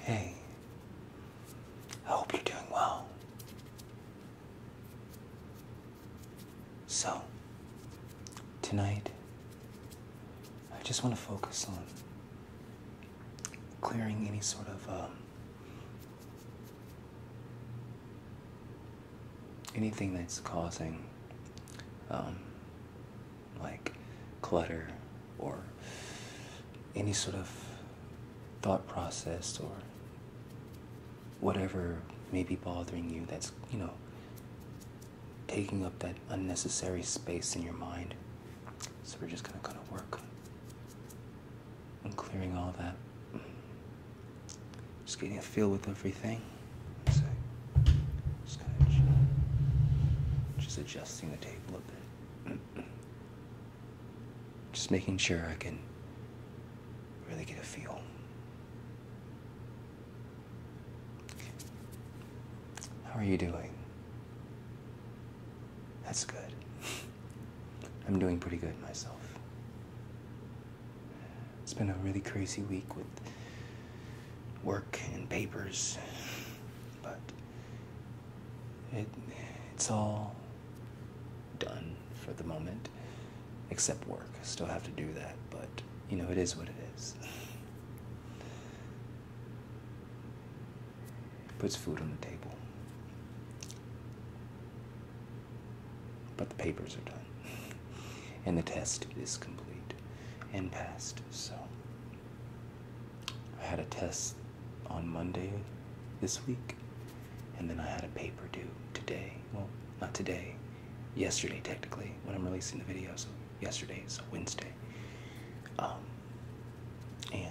Hey, I hope you're doing well. So, tonight, I just want to focus on clearing any sort of, um, anything that's causing um, like clutter or any sort of thought process or whatever may be bothering you that's, you know, taking up that unnecessary space in your mind. So we're just gonna kind of work on clearing all that. Just getting a feel with everything. just kind of just adjusting the tape a bit. just making sure I can really get a feel. How are you doing? That's good. I'm doing pretty good myself. It's been a really crazy week with work and papers, but it it's all done for the moment, except work. I still have to do that, but you know it is what it is. Puts food on the table, but the papers are done and the test is complete and passed. So I had a test on Monday this week, and then I had a paper due today. Well, not today, yesterday technically, when I'm releasing the video. So yesterday is so Wednesday. Um, and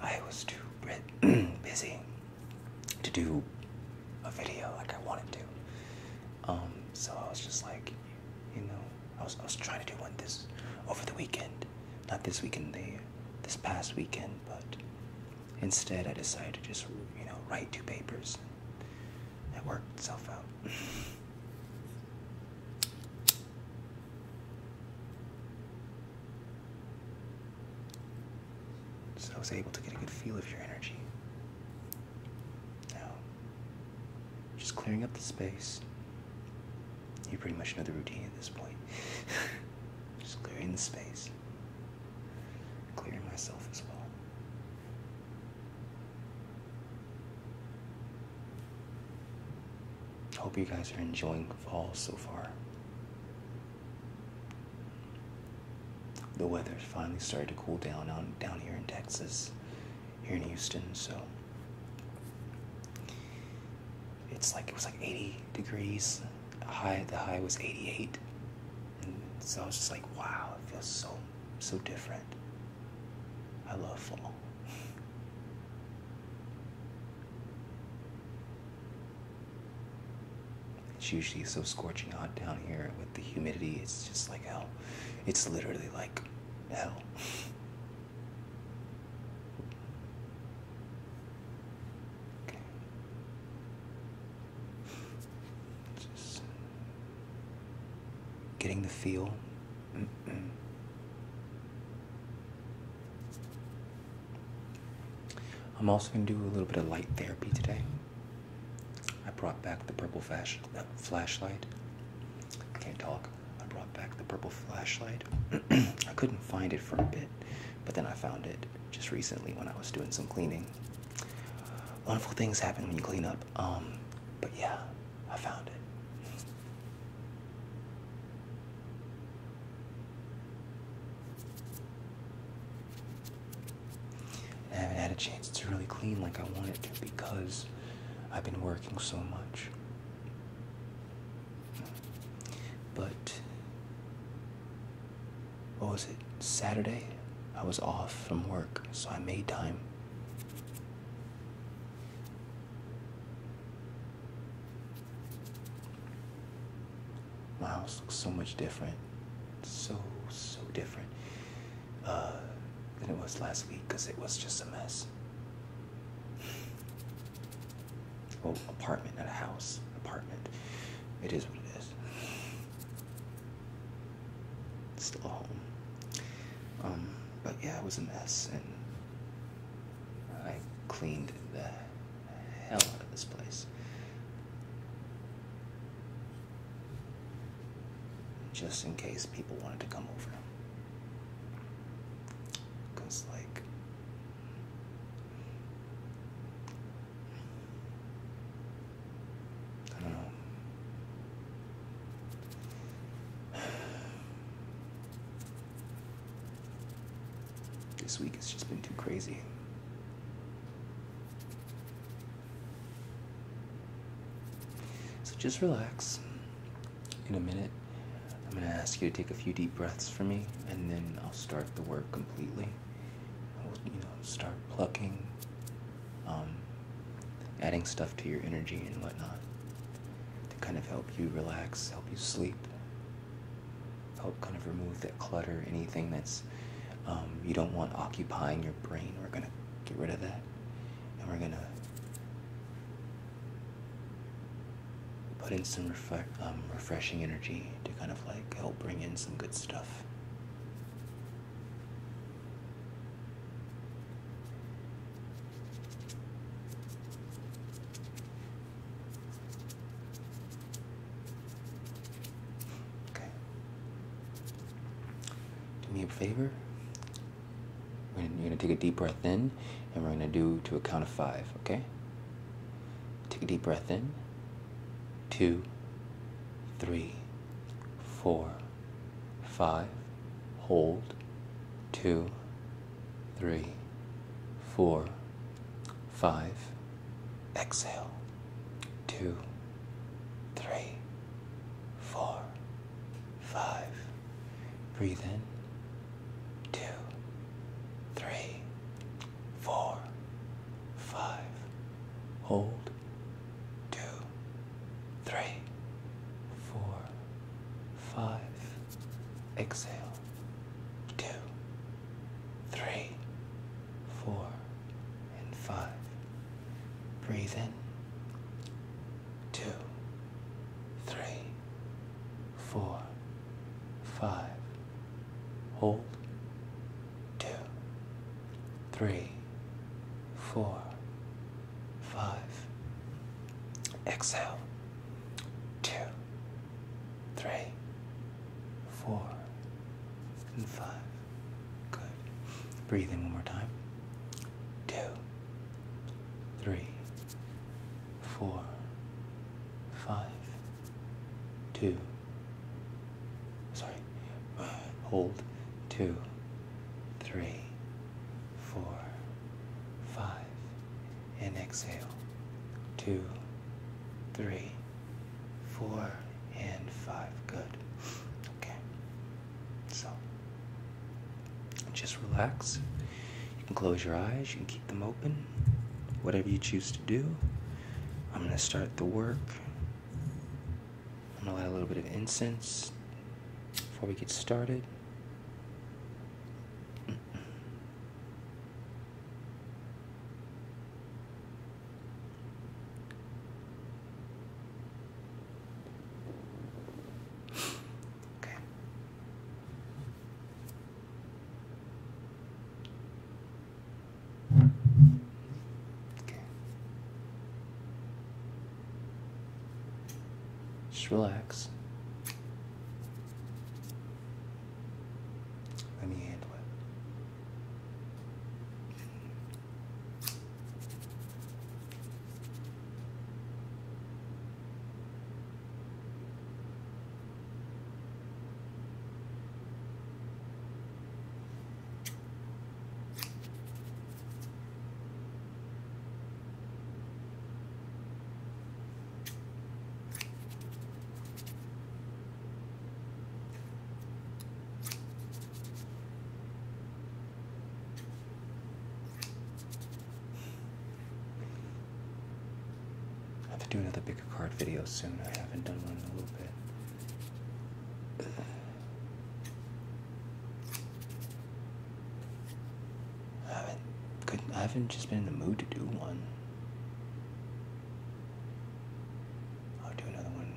I was too busy to do a video like I wanted to. Um, so I was just like, you know, I was I was trying to do one this over the weekend, not this weekend, the this past weekend, but instead I decided to just you know write two papers. It worked itself out. So I was able to get a good feel of your energy. Now, just clearing up the space. You pretty much know the routine at this point. just clearing the space. Clearing myself as well. Hope you guys are enjoying fall so far. The weather finally started to cool down on down here in Texas, here in Houston. So it's like it was like 80 degrees. High the high was 88, and so I was just like, wow, it feels so so different. I love fall. It's usually so scorching hot down here with the humidity, it's just like hell. It's literally like hell. okay. Just getting the feel. I'm also going to do a little bit of light therapy today. I brought back the purple flash, uh, flashlight. I can't talk. I brought back the purple flashlight. I couldn't find it for a bit, but then I found it just recently when I was doing some cleaning. Wonderful things happen when you clean up. Um, but yeah, I found it. And I haven't had a chance to really clean like I wanted to because I've been working so much. But what was it? Saturday? I was off from work, so I made time. My house looks so much different. So, so different uh, than it was last week because it was just a mess. Well, apartment, not a house. Apartment. It is what it is. still a home. Um, but yeah, it was a mess, and I cleaned the hell out of this place. Just in case people wanted to come over. Because, like, I don't know. This week has just been too crazy. So just relax. In a minute, I'm going to ask you to take a few deep breaths for me, and then I'll start the work completely. I'll, you know, start plucking, um, adding stuff to your energy and whatnot to kind of help you relax, help you sleep, help kind of remove that clutter, anything that's um, you don't want occupying your brain. We're going to get rid of that. And we're going to put in some refre um, refreshing energy to kind of like help bring in some good stuff. Okay. Do me a favor. going you're going to take a deep breath in, and we're going to do to a count of five, okay? Take a deep breath in. Two, three, four, five. Hold. Two, three, four, Five. Exhale. Two. Three. Four. Five. Breathe in. Two. Three. Four. Five. Hold. Two. Three. Four. Five. Exhale two, three, four, and five. Breathe in. Two, three, four, five. Hold. Two, three, four, five. Exhale. Two, three, four, and five. Good. Breathe one more time. Two, three, four, five, two. Sorry. Uh, hold. Two, three, four, five and exhale. Two, three, four, and five. Good. Okay. So just relax. You can close your eyes, you can keep them open, whatever you choose to do. I'm going to start the work. I'm going to light a little bit of incense before we get started okay. Okay. Just relax. Let me handle it. I have to do another bigger card video soon. I haven't done one in a little bit. I haven't, could, I haven't just been in the mood to do one. I'll do another one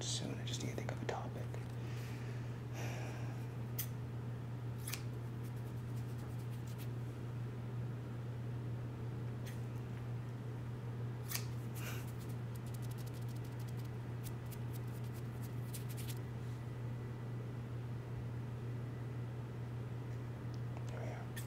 soon. I just need to think of a topic. There we are. Okay.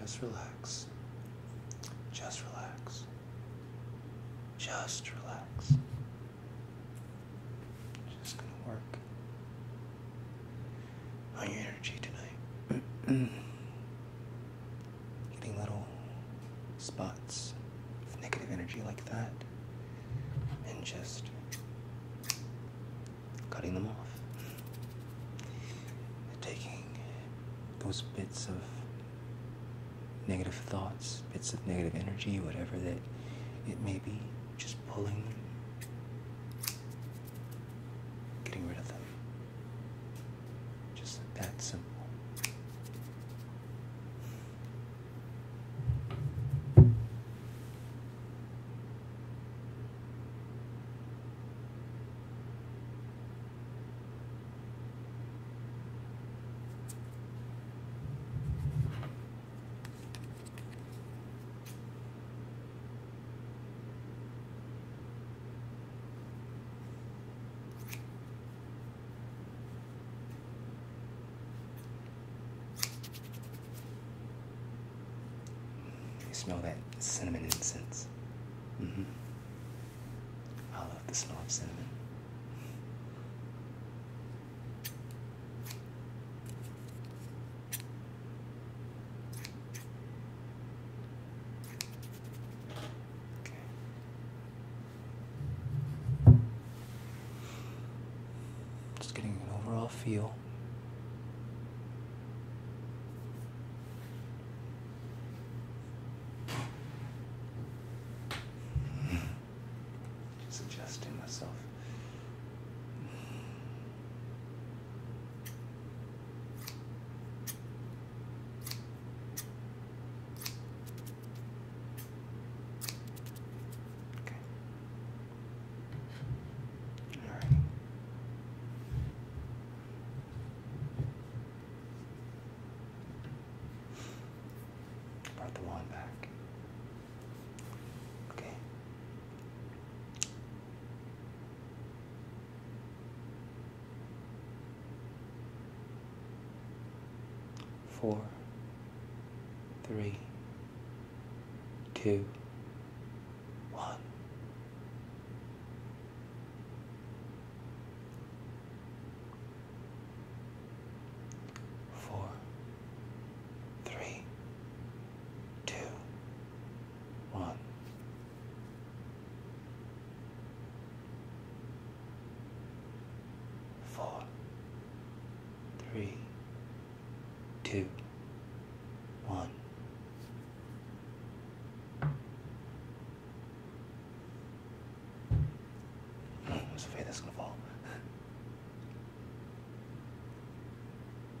Just relax. Just relax. Just relax. Just gonna work on your energy tonight. Getting little spots of negative energy like that and just cutting them off. taking those bits of negative thoughts, bits of negative energy, whatever that it may be, just pulling getting rid of them. Just that simple. You smell that cinnamon incense. Mm -hmm. I love the smell of cinnamon. Just getting an overall feel. Just adjusting myself Okay. All right. Brought the wand back. Okay four, three, two, one. Four, three, two, one. Four, three, two, one. Hmm, I was gonna fall.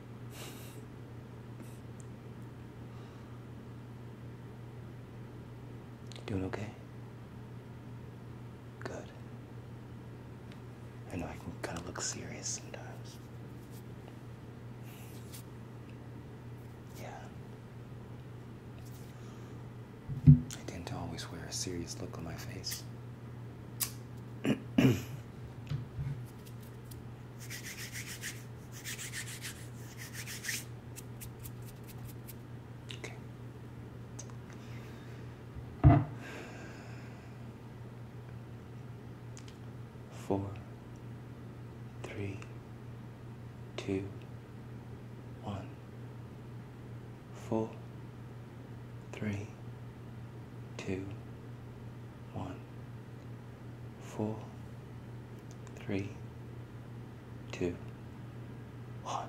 Doing okay? Good. I know I can kind of look serious sometimes. Yeah. I tend to always wear a serious look on my face. Okay. Four, three, two, one, four, three, two, one, four, three, two, one.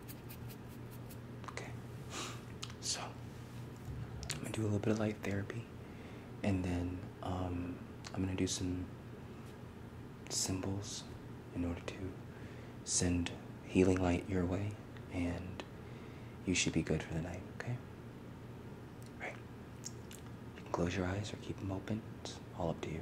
Okay. So I'm gonna do a little bit of light therapy and then um, I'm gonna do some symbols in order to send healing light your way and you should be good for the night, okay? All right. You can close your eyes or keep them open. It's all up to you.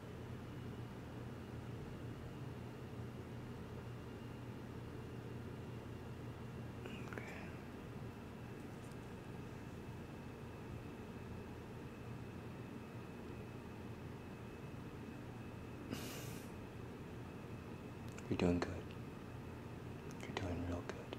You're doing good. You're doing real good.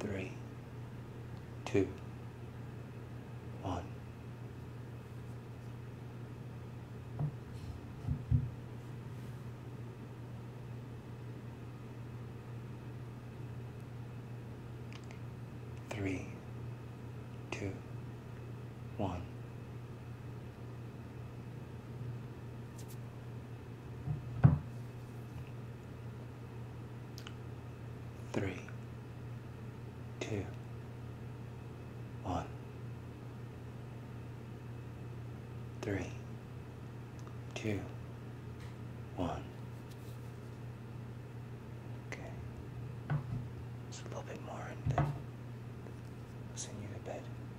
three, two, one. Three, two, one three, two, one, three, two, one. Okay, just a little bit more and then I'll send you to bed.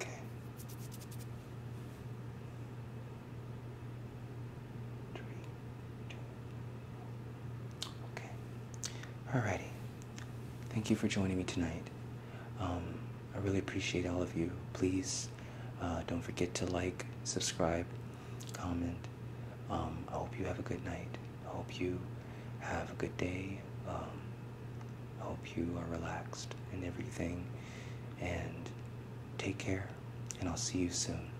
Okay. Drink Okay. Alrighty. Thank you for joining me tonight. Um, I really appreciate all of you. Please uh, don't forget to like, subscribe, comment. Um, I hope you have a good night. I hope you have a good day. Um, hope you are relaxed and everything. And take care, and I'll see you soon.